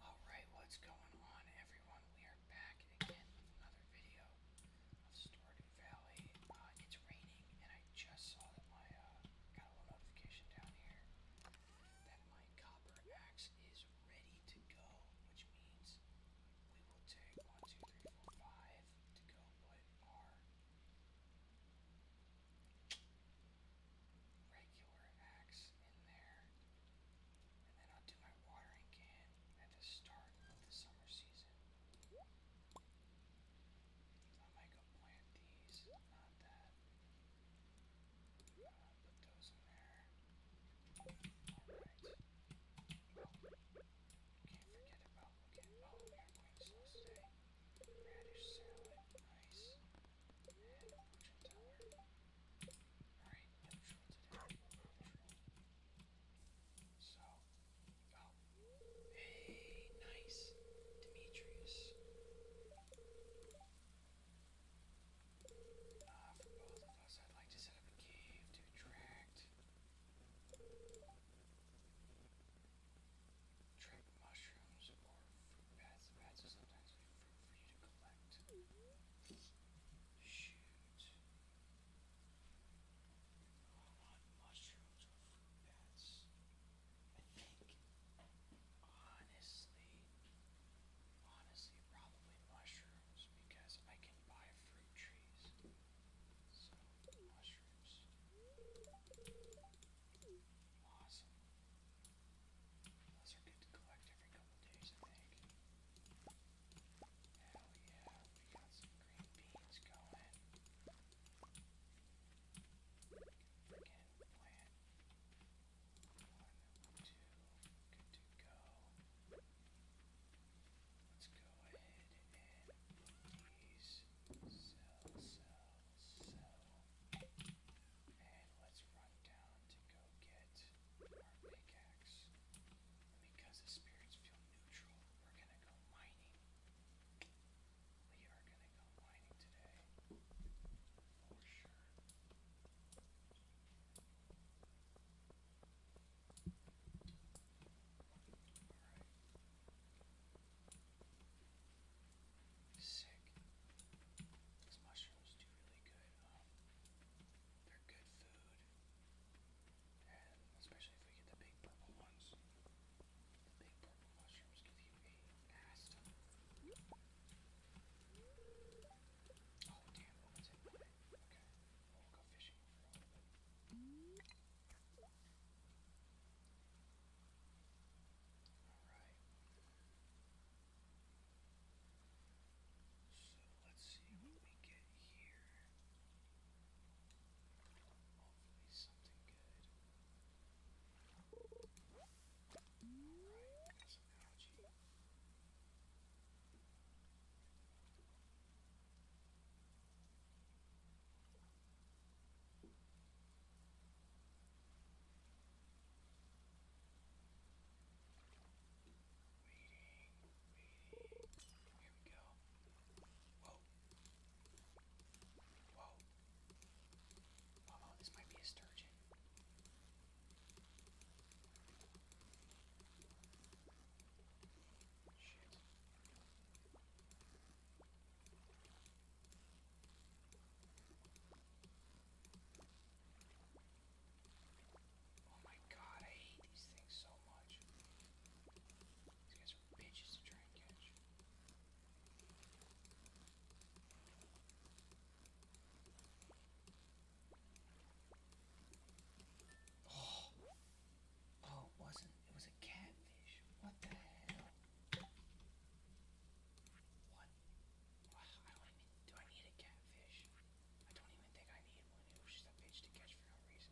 Alright, what's going on everyone? We are back again with another video of Stardew Valley. Uh, it's raining and I just saw that my, uh, got a little notification down here that my copper axe is ready to go, which means we will take one, two, three, four, five to go put our regular axe in there. And then I'll do my watering can at the start the summer season. I might go plant these, not that. Uh, put those in there. Alright. can't forget about looking. Oh, we are going today. Radish salad, nice. Alright, neutral today. Neutral. So, oh. Hey, nice. Demetrius. Uh, for both of us, I'd like to set up a cave to attract. Trap mushrooms or fruit bats. The bats are sometimes for you to collect. Shoot. I want mushrooms or fruit bats. I think, honestly, honestly, probably mushrooms because I can buy fruit trees. So, mushrooms. Awesome. Those are good to collect every couple days, I think. Hell yeah, we got some green beans going. Freaking plant. One, two, good to go. Let's go ahead and put these sell, sell, sell. And let's run down to go get our pickaxe. because the spirits feel neutral, we're gonna go mining. We are gonna go mining today. For sure. Alright. Sick. These mushrooms do really good. Um, they're good food, and especially if we get the big purple ones. The big purple mushrooms give you a ass Oh damn, Okay, we'll go fishing Alright. So let's see what we get here. Hopefully something good. Alright, we got some algae. Reading, reading. Here we go. Whoa. Whoa. Uh oh, this might be a sturgeon. Shit. Oh my god, I hate these things so much. These guys are bitches to try and catch. Oh, oh, wasn't. It was a catfish. What the hell? What Wow, I don't need, do I need a catfish? I don't even think I need one. It was just a bitch to catch for no reason.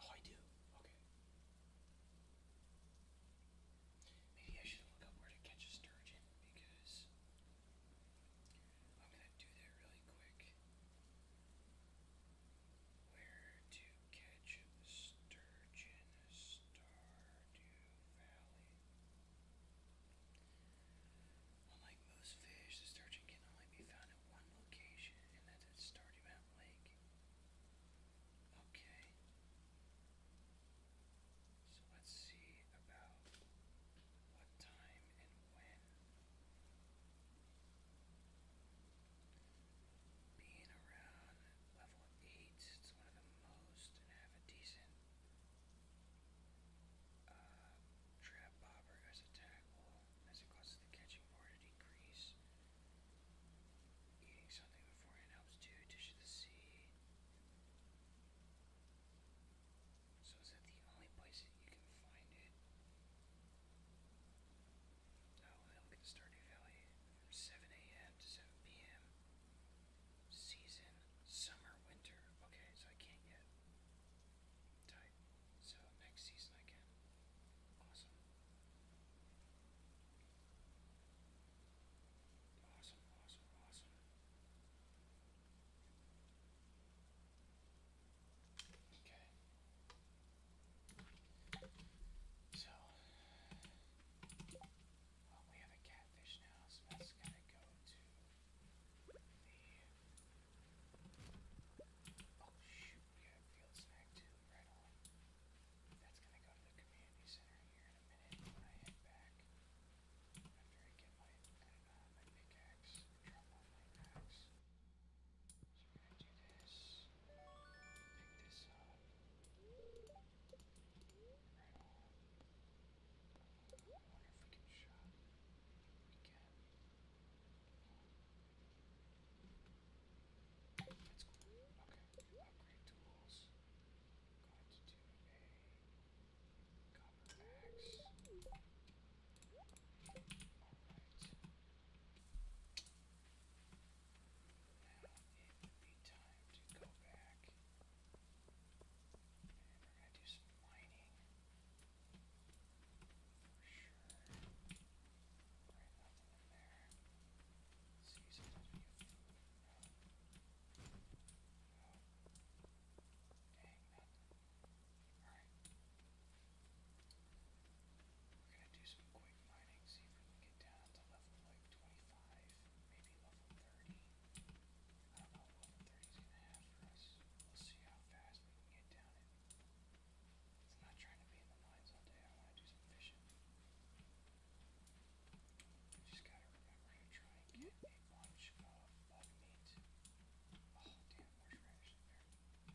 Oh, I do. Okay. Maybe I should look up where to catch a sturgeon because I'm gonna do that really quick. Where to catch sturgeon, Stardew Valley. Unlike most fish, the sturgeon can only be found at one location, and that's at Stardew Mountain Lake. Okay. So let's see about what time and when being around level 8, it's one of the most, have a decent uh, trap bobber as a tackle, as it causes the catching bar to decrease. Eating something beforehand helps too, dish of So is that the only place you can find it? Oh, I look at the Stardew from 7 a.m. to 7 p.m. Season, summer, winter. Okay, so I can't yet type. So next season I can. Awesome, awesome, awesome. Okay. So, well, we have a catfish now, so that's gonna go to the. Oh shoot, we have field snack too, right on. That's gonna go to the community center here in a minute I head back. After I get my, uh, pickaxe, drop off my axe gonna do this. Pick this up. Right on. I wonder if we can shop. We can. That's cool. Okay. Upgrade tools. Going to do a copper axe. Alright it would be time to go back. And we're going to do some mining. For sure. Right, nothing in there. let we are going to do some quick mining, see if we can get down to level like 25, maybe level 30. I don't know what level 30 is going to have for us. We'll see how fast we can get down it. So I'm not trying to be in the mines all day, I want to do some fishing. I just gotta remember to try and get a bunch of bug meat. Oh damn, there's radish in there.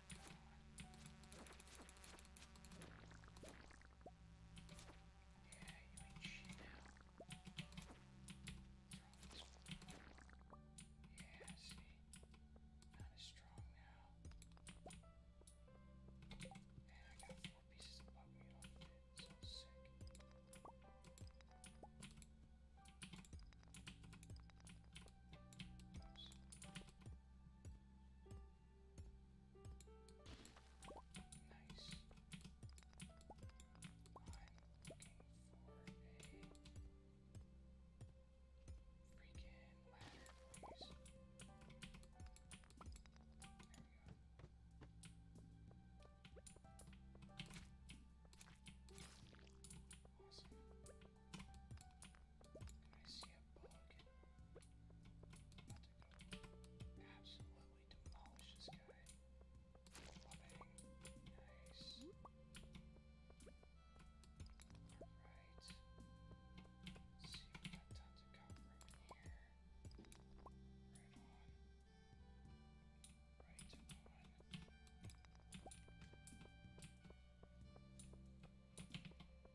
you ain't shit now. Yeah, see? Not as strong now. And I got four pieces of bug meat off of it. So sick. Oops. Nice. I'm looking for a freaking ladder, please. There we go. Awesome. I see a bug. To go absolutely demolish this guy. Loving. Nice. Alright. Let's see, we got tons of copper over here. Right on. Right on. Alright,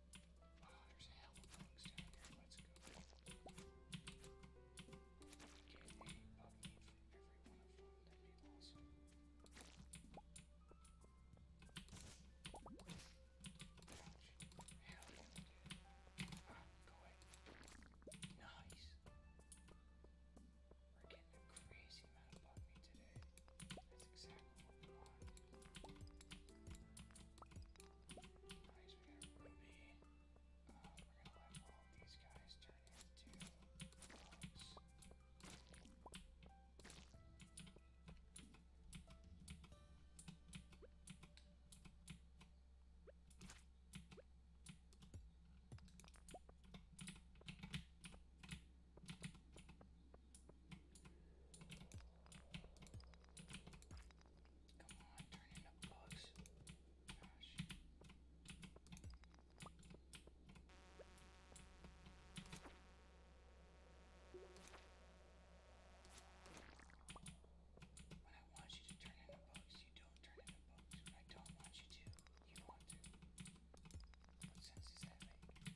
Oh, there's a hell of things down there. Let's go. Get a bug meat from every one of them. That'd be awesome. Ouch. Hell yeah. Ah, go away. Nice. We're getting a crazy amount of bug meat today. That's exactly what Alright, so we got Ruby. Uh, we're gonna let all of these guys turn into bugs. Come on, turn into bugs. Gosh. When I want you to turn into bugs, you don't turn into bugs. When I don't want you to, you want to. What sense does that make?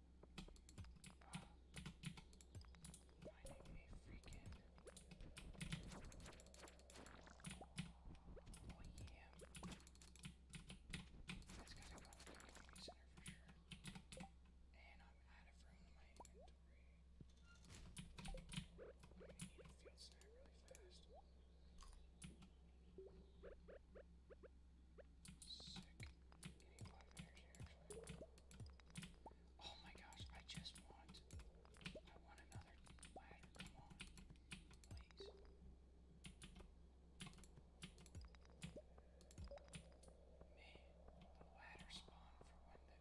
Finding a freaking Oh yeah. That's gotta go to the community center for sure. And I'm out of room in my inventory. I'm gonna need a field snack really fast. Sick. Getting a lot of energy actually. Oh my gosh, I just want I want another ladder. Come on. Please. Man, the ladder spawn for when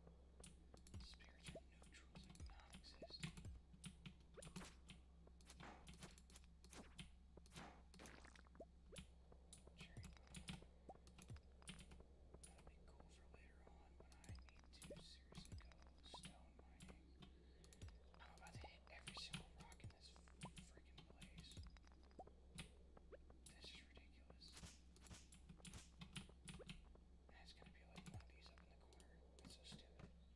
the spirits are neutral is like non existent. Cherry. That'll be cool for later on when I need to seriously go stone mining. I'm about to hit every single rock in this freaking place. This is ridiculous. And it's gonna be like one of these up in the corner. It's so stupid. Is that water?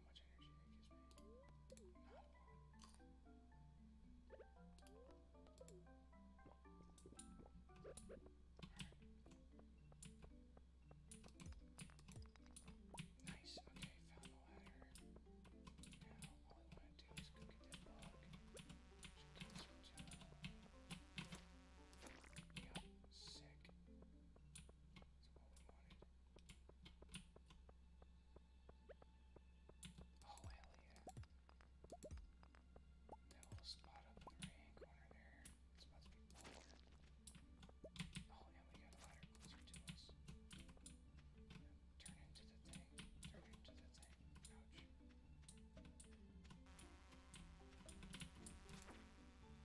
how much energy that gives me. Not a lot. Alright. Nice, okay, found the ladder. Now all I want to do is go get that log. Should get this one down. Yep, sick. That's all we wanted. Oh, hell yeah. That little spot up in the right hand corner there. It's about to be water. Oh, and we got a ladder closer to us. Turn into the thing. Turn into the thing. Ouch.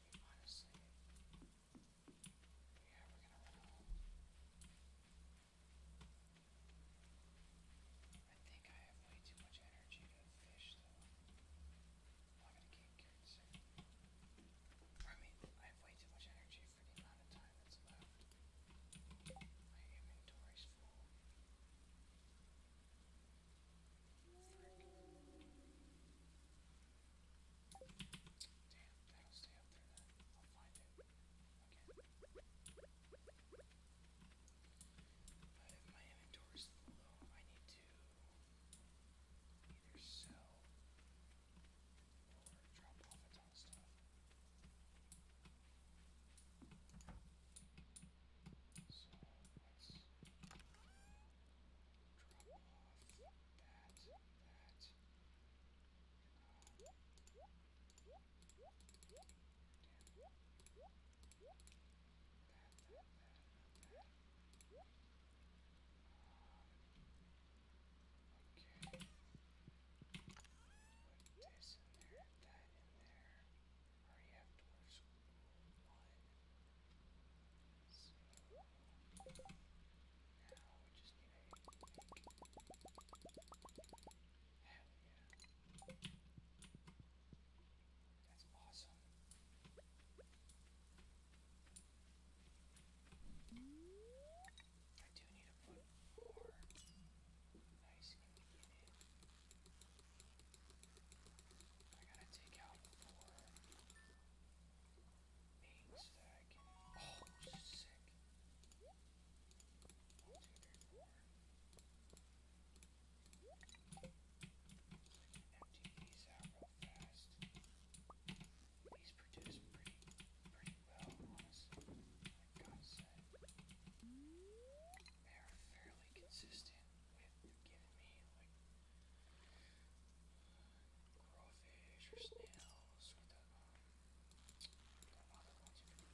honestly. Yeah, we're gonna run I think I have way too much energy to fish, though. I'm gonna get cured I mean, I have way too much energy for the amount of time that's left. My inventory's full. Damn, that'll stay up there then. I'll find it again. But if my inventory's low, I need to either sell or drop off a ton of stuff. So let's drop off that, that. Um, damn. That, that, that, that. Um, okay. Put this in there, that in there. I already have dwarfs so now we just need a link. Hell yeah. That's awesome. I do need to put more nice in the beginning. I gotta take out four eggs that I can. Oh, she's sick. One, two, three, four. Empty these out real fast. These produce pretty, pretty well, honestly. Like God said, they are fairly consistent with giving me like crawfish or snails or the um, the other ones you can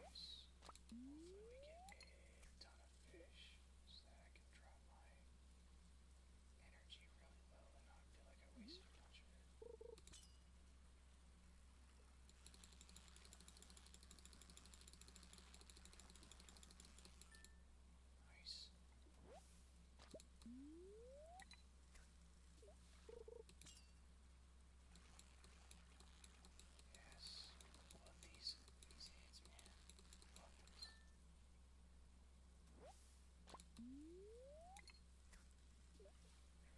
Nice. Hopefully we get a ton of fish so that I can drop my energy really low and not feel like I wasted a bunch of it. Nice. Yes. Love these these hits, man. Love this. Every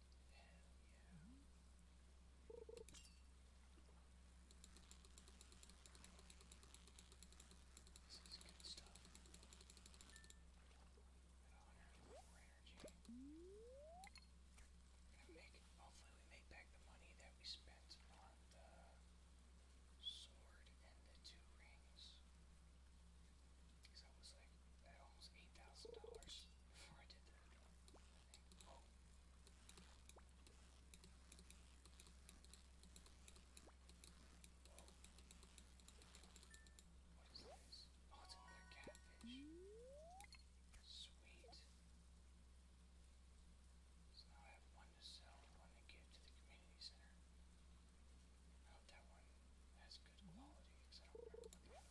This is good stuff. Gonna make, hopefully we make back the money that we spent on the sword and the two rings. Because was like, that almost $8,000 before I did that. What is this? Oh, it's another catfish. Sweet. So now I have one to sell and one to give to the community center. I hope that one has good quality because I don't remember what the other one was.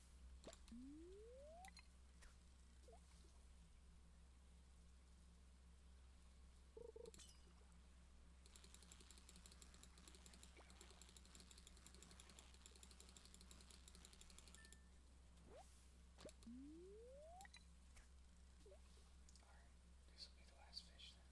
Alright, this will be the last fish then.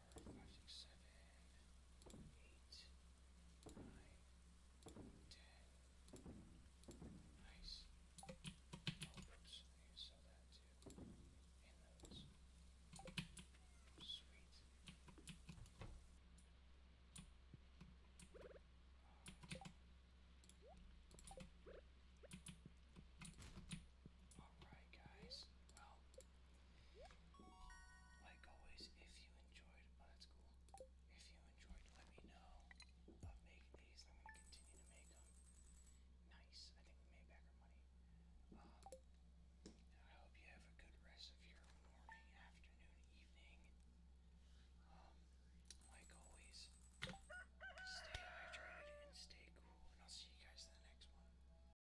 five, six, seven, eight, nine, ten. Nice. Oh, oops, I saw that too. And those. Sweet. Alright, guys. Well, like always, if you enjoyed, oh that's cool. If you enjoyed, let me know. Love making these, I'm gonna continue to make them. Nice. I think we made back our money. Um, I hope you have a good rest of your morning, afternoon, evening. Um, like always, stay hydrated and stay cool, and I'll see you guys in the next one.